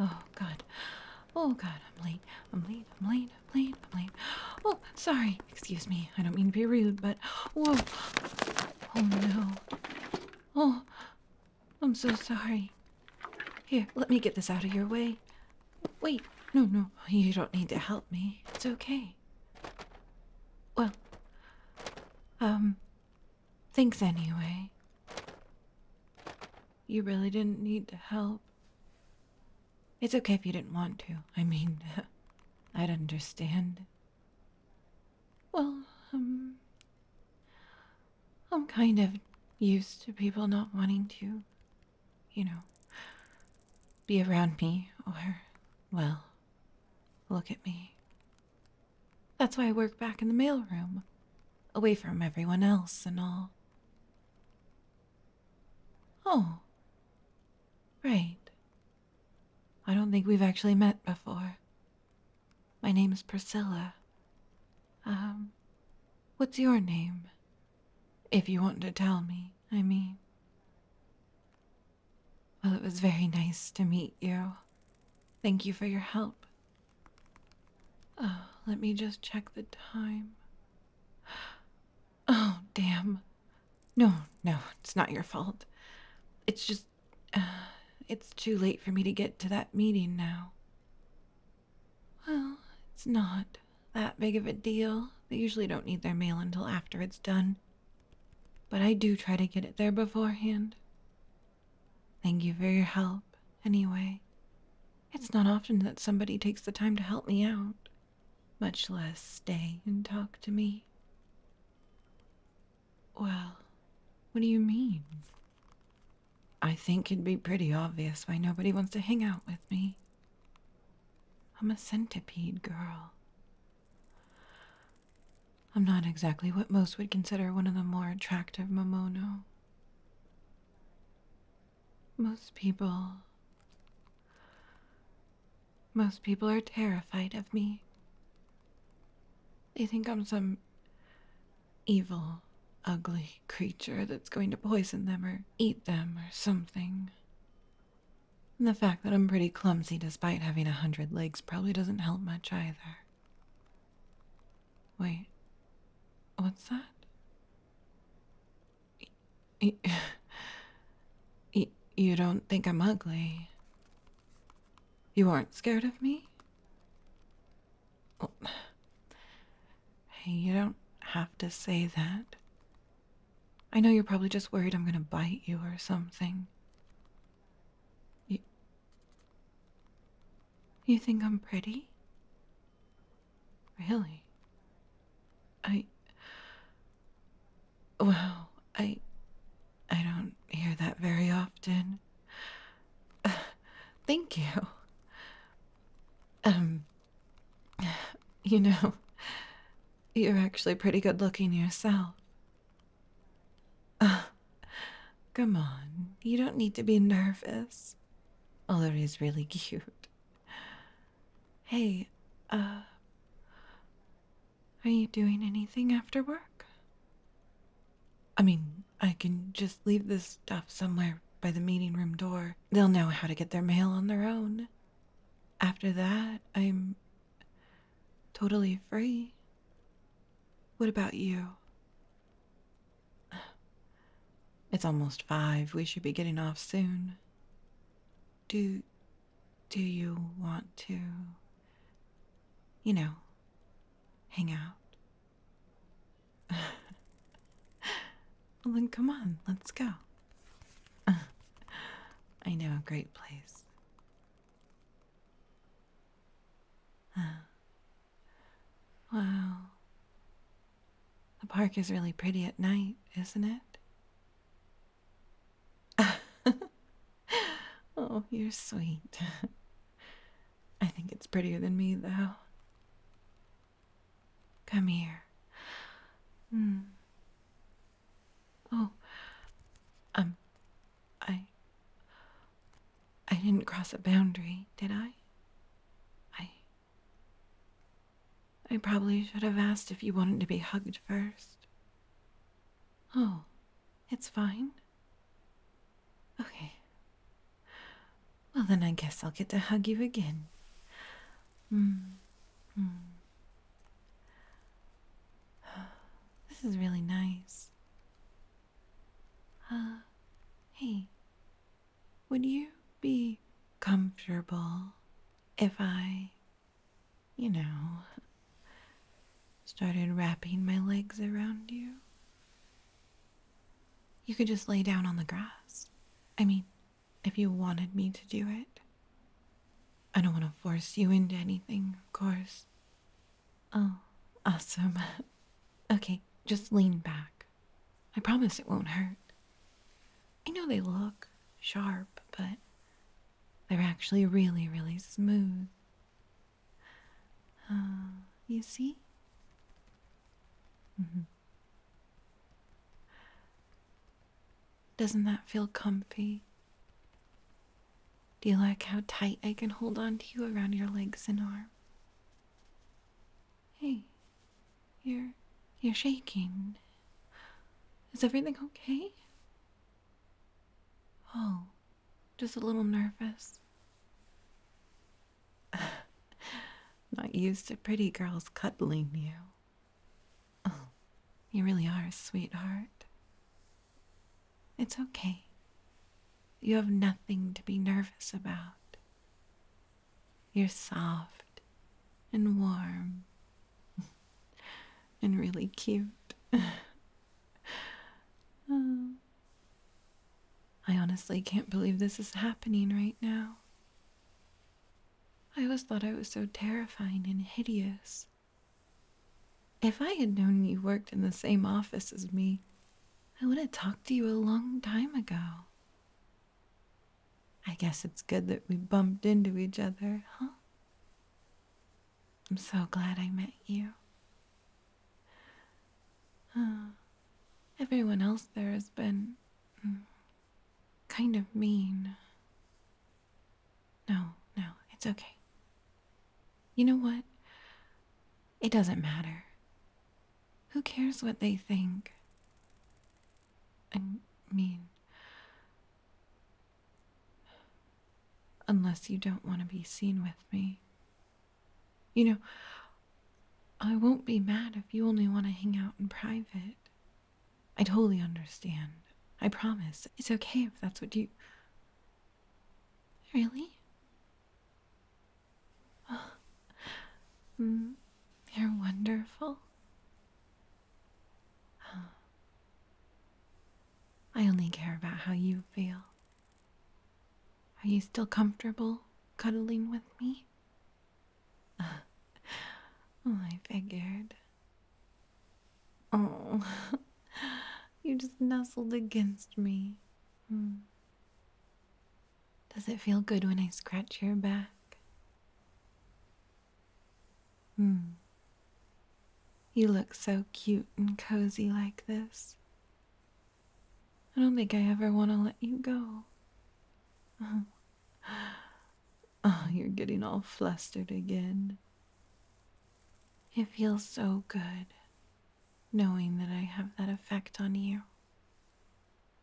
Oh, God. Oh, God, I'm late. I'm late. I'm late. I'm late. I'm late. Oh, sorry. Excuse me. I don't mean to be rude, but. Whoa. Oh, no. Oh, I'm so sorry. Here, let me get this out of your way. Wait. No, no. You don't need to help me. It's okay. Well, um, Thanks anyway. You really didn't need help. It's okay if you didn't want to. I mean, I'd understand. Well, um, I'm kind of used to people not wanting to, you know, be around me or, well, look at me. That's why I work back in the mail room, away from everyone else and all. Oh, right. I don't think we've actually met before. My name is Priscilla. Um, what's your name? If you want to tell me, I mean. Well, it was very nice to meet you. Thank you for your help. Oh, let me just check the time. Oh, damn. No, no, it's not your fault. It's just. Uh, it's too late for me to get to that meeting now. Well, it's not that big of a deal. They usually don't need their mail until after it's done. But I do try to get it there beforehand. Thank you for your help, anyway. It's not often that somebody takes the time to help me out, much less stay and talk to me. Well, what do you mean? I think it'd be pretty obvious why nobody wants to hang out with me. I'm a centipede girl. I'm not exactly what most would consider one of the more attractive momono. Most people. Most people are terrified of me. They think I'm some evil, ugly creature that's going to poison them or eat them or something. And the fact that I'm pretty clumsy despite having a hundred legs probably doesn't help much either. Wait, what's that? you don't think I'm ugly? You aren't scared of me? hey, you don't have to say that. I know you're probably just worried I'm gonna bite you or something. You, you think I'm pretty? Really? I. Well, I. I don't hear that very often. thank you. Um. You know, you're actually pretty good looking yourself. Uh, come on, you don't need to be nervous. Although is really cute. Hey, uh, are you doing anything after work? I mean, I can just leave this stuff somewhere by the meeting room door. They'll know how to get their mail on their own. After that, I'm totally free. What about you? It's almost five. We should be getting off soon. Do. do you want to. you know, hang out? well, then come on, let's go. I know a great place. wow. The park is really pretty at night, isn't it? oh, you're sweet. I think it's prettier than me, though. Come here. Hmm. Oh, um, I. I didn't cross a boundary, did I? I. I probably should have asked if you wanted to be hugged first. Oh, it's fine. Okay. Well, then I guess I'll get to hug you again. Mm. Mm. This is really nice. Uh, hey, would you be comfortable if I, you know, started wrapping my legs around you? You could just lay down on the grass. I mean, if you wanted me to do it. I don't want to force you into anything, of course. Oh, awesome. okay, just lean back. I promise it won't hurt. I know they look sharp, but they're actually really, really smooth. Uh, you see? Mm-hmm. Doesn't that feel comfy? Do you like how tight I can hold on to you around your legs and arms? Hey, you're you're shaking. Is everything okay? Oh, just a little nervous. Not used to pretty girls cuddling you. Oh, you really are, sweetheart. It's okay. You have nothing to be nervous about. You're soft and warm and really cute. oh. I honestly can't believe this is happening right now. I always thought I was so terrifying and hideous. If I had known you worked in the same office as me, I would have talked to you a long time ago. I guess it's good that we bumped into each other, huh? I'm so glad I met you. Uh, everyone else there has been hmm, kind of mean. No, no, it's okay. You know what? It doesn't matter. Who cares what they think? I mean, unless you don't want to be seen with me. You know, I won't be mad if you only want to hang out in private. I totally understand. I promise. It's okay if that's what you. Really? Mm, you're wonderful. I only care about how you feel. Are you still comfortable cuddling with me? oh, I figured. Oh, you just nestled against me. Hmm. Does it feel good when I scratch your back? Hmm. You look so cute and cozy like this. I don't think I ever want to let you go. Oh, you're getting all flustered again. It feels so good knowing that I have that effect on you.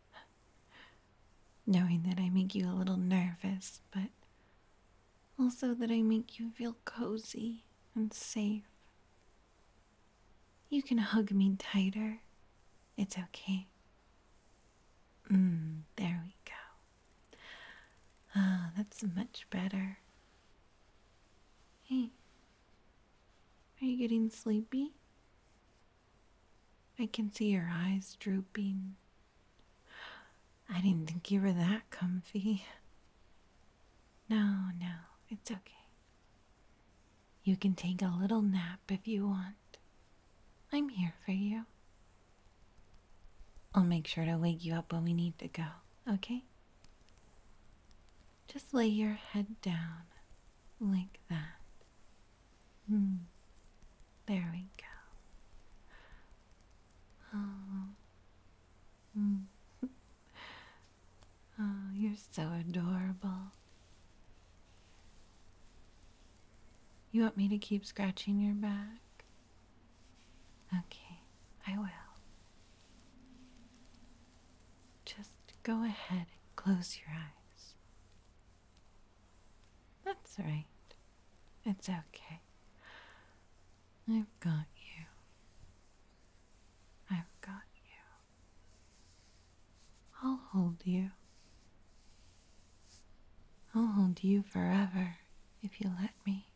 Knowing that I make you a little nervous, but also that I make you feel cozy and safe. You can hug me tighter. It's okay. Mm, there we go. Ah, oh, that's much better. Hey, are you getting sleepy? I can see your eyes drooping. I didn't think you were that comfy. No, no, it's okay. You can take a little nap if you want. I'm here for you. I'll make sure to wake you up when we need to go, okay? Just lay your head down like that. Hmm. There we go. Oh. Mm. Oh, you're so adorable. You want me to keep scratching your back? Okay, I will. Just go ahead and close your eyes. That's right. It's okay. I've got you. I've got you. I'll hold you. I'll hold you forever if you let me.